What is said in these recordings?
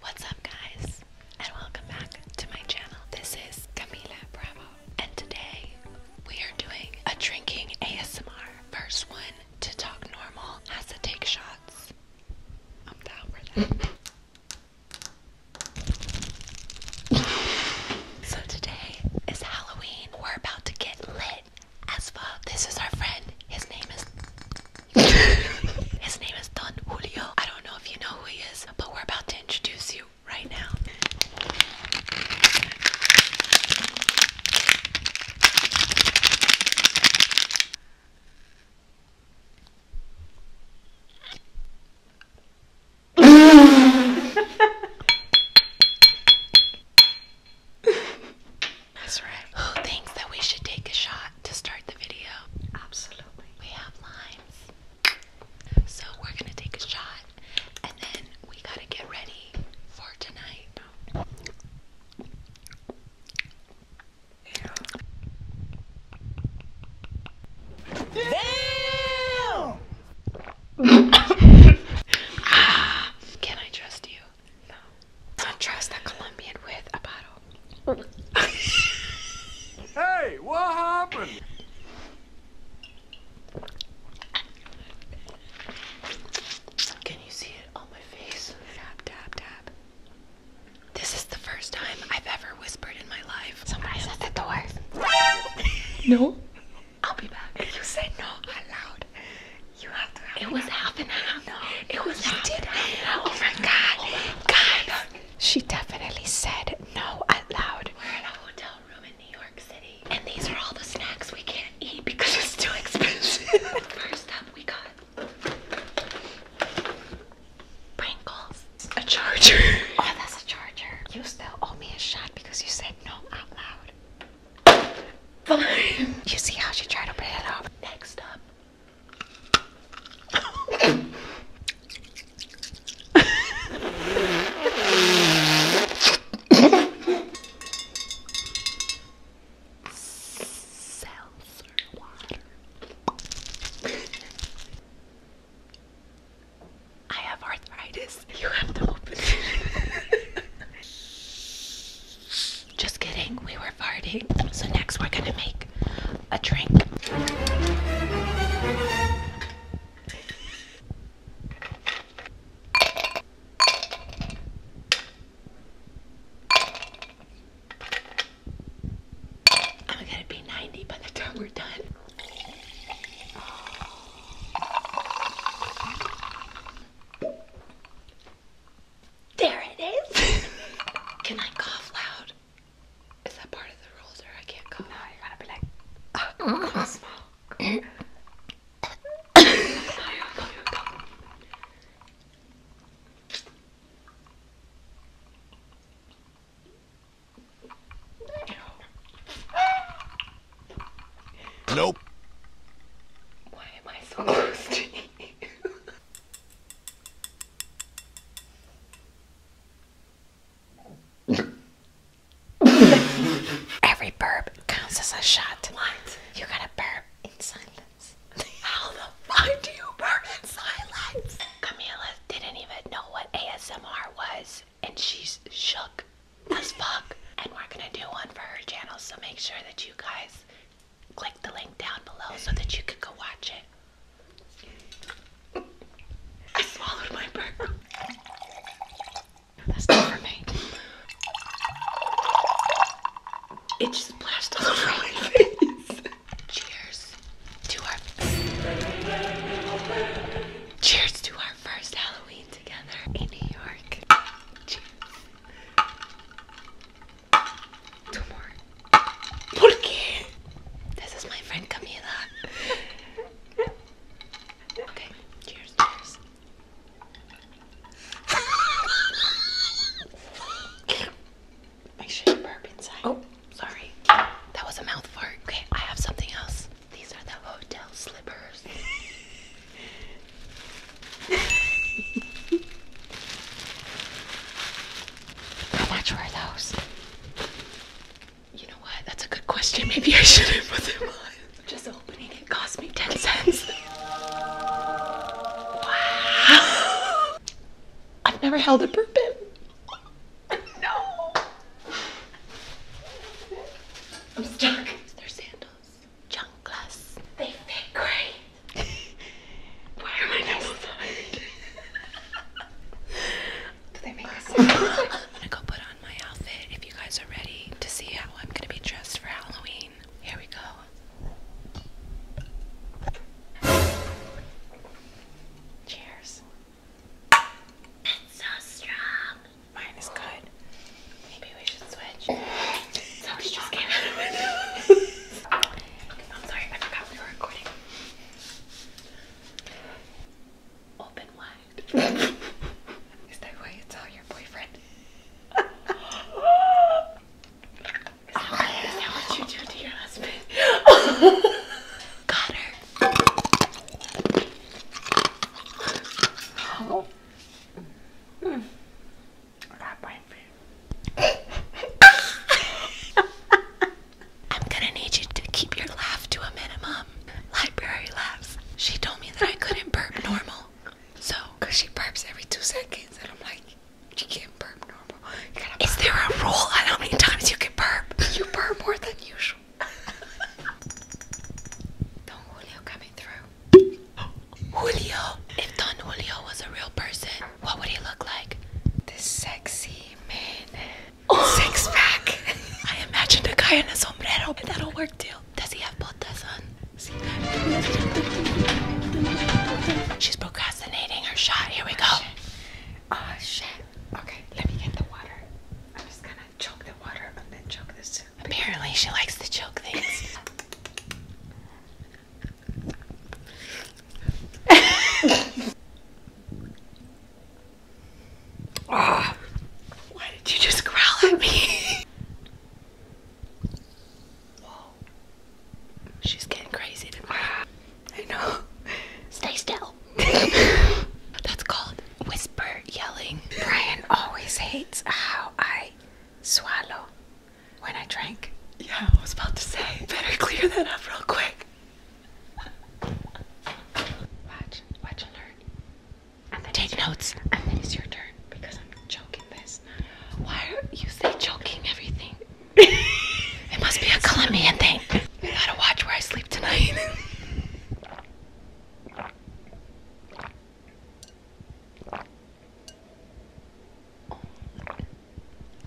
What's up guys and welcome back to my channel. This is Camila Bravo and today we are doing a drinking ASMR. First one to talk normal has to take shots. I'm down for that. so today is Halloween. We're about to get lit as fuck. This is our friend. His name is His name is Don Julio. I don't know if you know who he is, but we're about to introduce you right now. Who thinks that we should take a shot? to start the video. Absolutely. We have lines. So we're gonna take a shot and then we gotta get ready for tonight. Damn! Ah, can I trust you? No. Contrast the Colombian with a bottle. hey, what happened? Can you see it on my face? Tap, tap, tap. This is the first time I've ever whispered in my life. Somebody's at the door. no. I'll be back. You said no out loud. You it was half an hour. No, it was. She did half. Oh, oh my god, god. She definitely said no out loud. We're in a hotel room in New York City, and these are all the snacks we can't eat because it's too expensive. First up, we got Pringles. A charger. Oh, that's a charger. You still owe me a shot because you said no out loud. Fine. You see how she tried to put it up? Next up, Seltzer water. I have arthritis. You have to open it. Just kidding, we were farting. So next we're gonna make a drink. I'm gonna be 90 by the time we're done. There it is. Can I cough loud? Is that part of the rules or I can't cough? No, you gotta be like, cough small. Nope. Why am I so close to you? Every burp counts as a shot. What? You gotta burp in silence. How the fuck do you burp in silence? Camila didn't even know what ASMR was, and she's shook as fuck. And we're gonna do one for her channel, so make sure that you guys click the link down below so that you can go watch it. I swallowed my burger. That's not for me. It just splashed all over my face. Cheers to our Cheers to our first Halloween together in New York. Cheers. Two more. ¿Por This is my friend Camila. Okay, cheers, cheers. Make sure you burp inside. Oh, sorry. That was a mouth fart. Okay, I have something else. These are the hotel slippers. How much were those? You know what? That's a good question. Maybe I shouldn't put them on. Just opening it cost me 10 cents. Wow. I've never held a burpin. No. I'm stuck. They're sandals those They fit great. Why am I nipple Do they make us? I'm gonna go put on my outfit if you guys are ready to see how I'm gonna be dressed for Halloween. Here we go. Cheers. It's so strong. Mine is good. Maybe we should switch. Somebody just came out of the I'm sorry, I forgot we were recording. Open wide. Is that why you tell your boyfriend? Is that, what you do to your husband? Got her. Oh. Mm. I'm gonna need you to keep your laugh to a minimum. Library laughs. She told me that I couldn't burp normal. So, because she burps every two seconds, and I'm like, she can't burp normal. Is there a rule on how many times you can burp? You burp more than usual. Don Julio coming through. Julio. If Don Julio was a real person, what would he look like? This sexy man. Oh. Six pack. I imagined a guy in a sombrero, but that'll work too. Does he have botas on? She's procrastinating her shot. Here we go. Oh shit. Oh, shit. Okay, let me get the water. I'm just gonna choke the water and then choke this Apparently, she likes to choke things. oh, why did you just growl at me? Whoa. She's getting crazy I know. Stay still. That's called whisper yelling. Brian always hates how I swallow when I drank? Yeah, I was about to say. Better clear that up real quick. Watch, watch and Take notes. and then it's your turn because I'm choking this. Why are you say choking everything? it must be a Colombian thing. I gotta watch where I sleep tonight.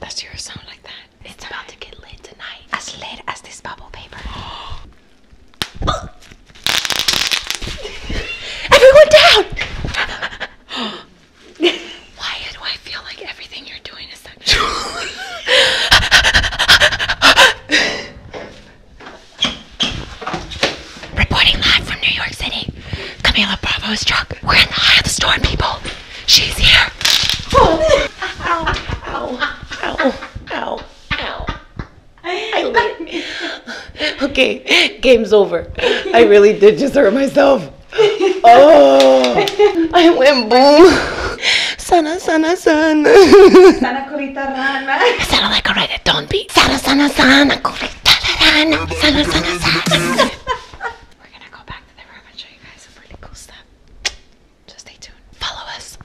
That's your sound like that? It's, it's about to get lit tonight. As lit as this bubble paper. Everyone down! Why do I feel like everything you're doing is sexual? Reporting live from New York City, Camila Bravo's truck. We're in the eye of the storm, people. She's here. Oh. ow, ow, ow, ow, ow. okay, game's over. I really did just hurt myself. Oh, I went boom. Sana, sana, sana. Sana, curita rana. I sounded like a reggaeton beat. Sana sana sana sana sana sana We're gonna go back to the room and show you guys some really cool stuff. So stay tuned. Follow us.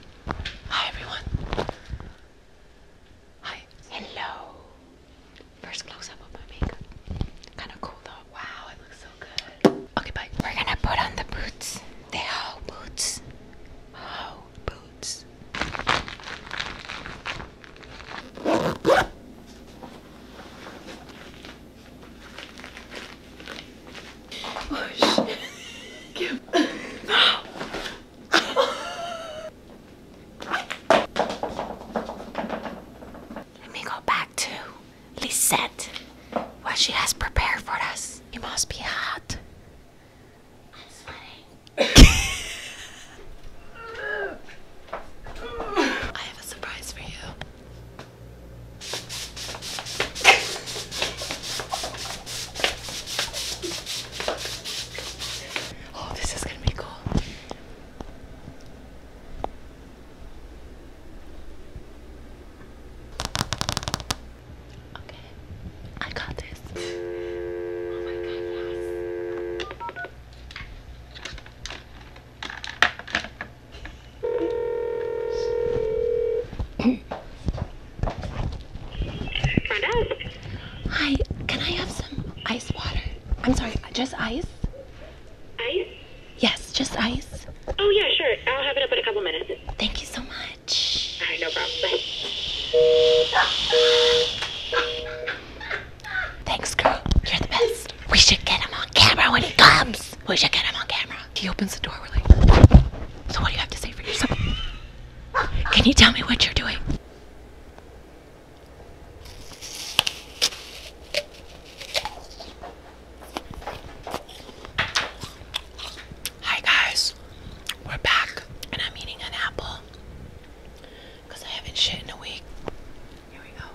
Hi everyone. Hi. Hello. First close up of my makeup. Kinda cool though. Wow, it looks so good. Okay, bye. We're gonna put on the boots. The whole boots. Oh boots. Let me go back to Lisette. What she has prepared for us. It must be hot. I'm sweating. I have a surprise for you. Oh, this is gonna be cool. Okay, I got this. Oh Hi, can I have some ice water? I'm sorry, just ice? Ice? Yes, just ice. Oh yeah, sure. I'll have it up in a couple minutes. Thank you so much much. Thanks, girl. You're the best. We should get him on camera when he comes. We should get him on camera. He opens the door. we so what do you have to say for yourself? Can you tell me what you're doing? Hi guys, we're back and I'm eating an apple because I haven't shit in a week. Here we go.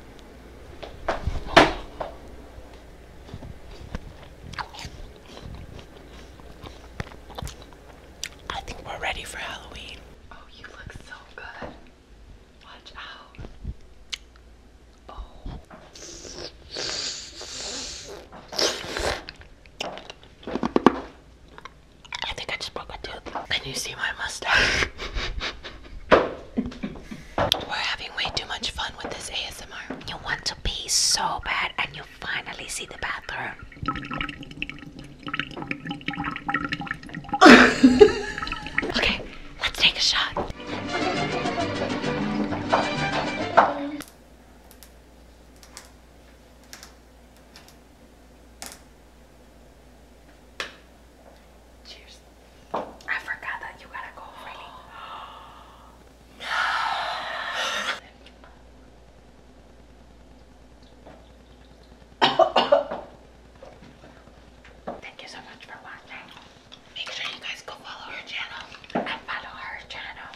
I think we're ready for Halloween. Oh, you look so good. Watch out. Oh. I think I just broke a tooth. Can you see my mustache? We're having way too much fun with this ASMR. You want to pee so bad and you finally see the bathroom. okay, let's take a shot. Cheers. I forgot that you gotta go really. Thank you so much for watching. Make sure you guys go follow her channel and follow her channel.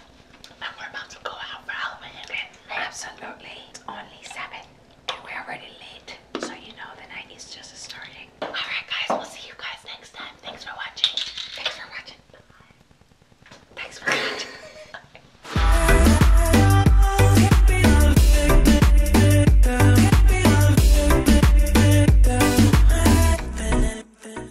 And we're about to go out for Halloween Absolutely. It's only 7. And we're already late. So you know the night is just starting. Alright guys, we'll see you guys next time. Thanks for watching. Thanks for watching. Bye. Thanks for watching.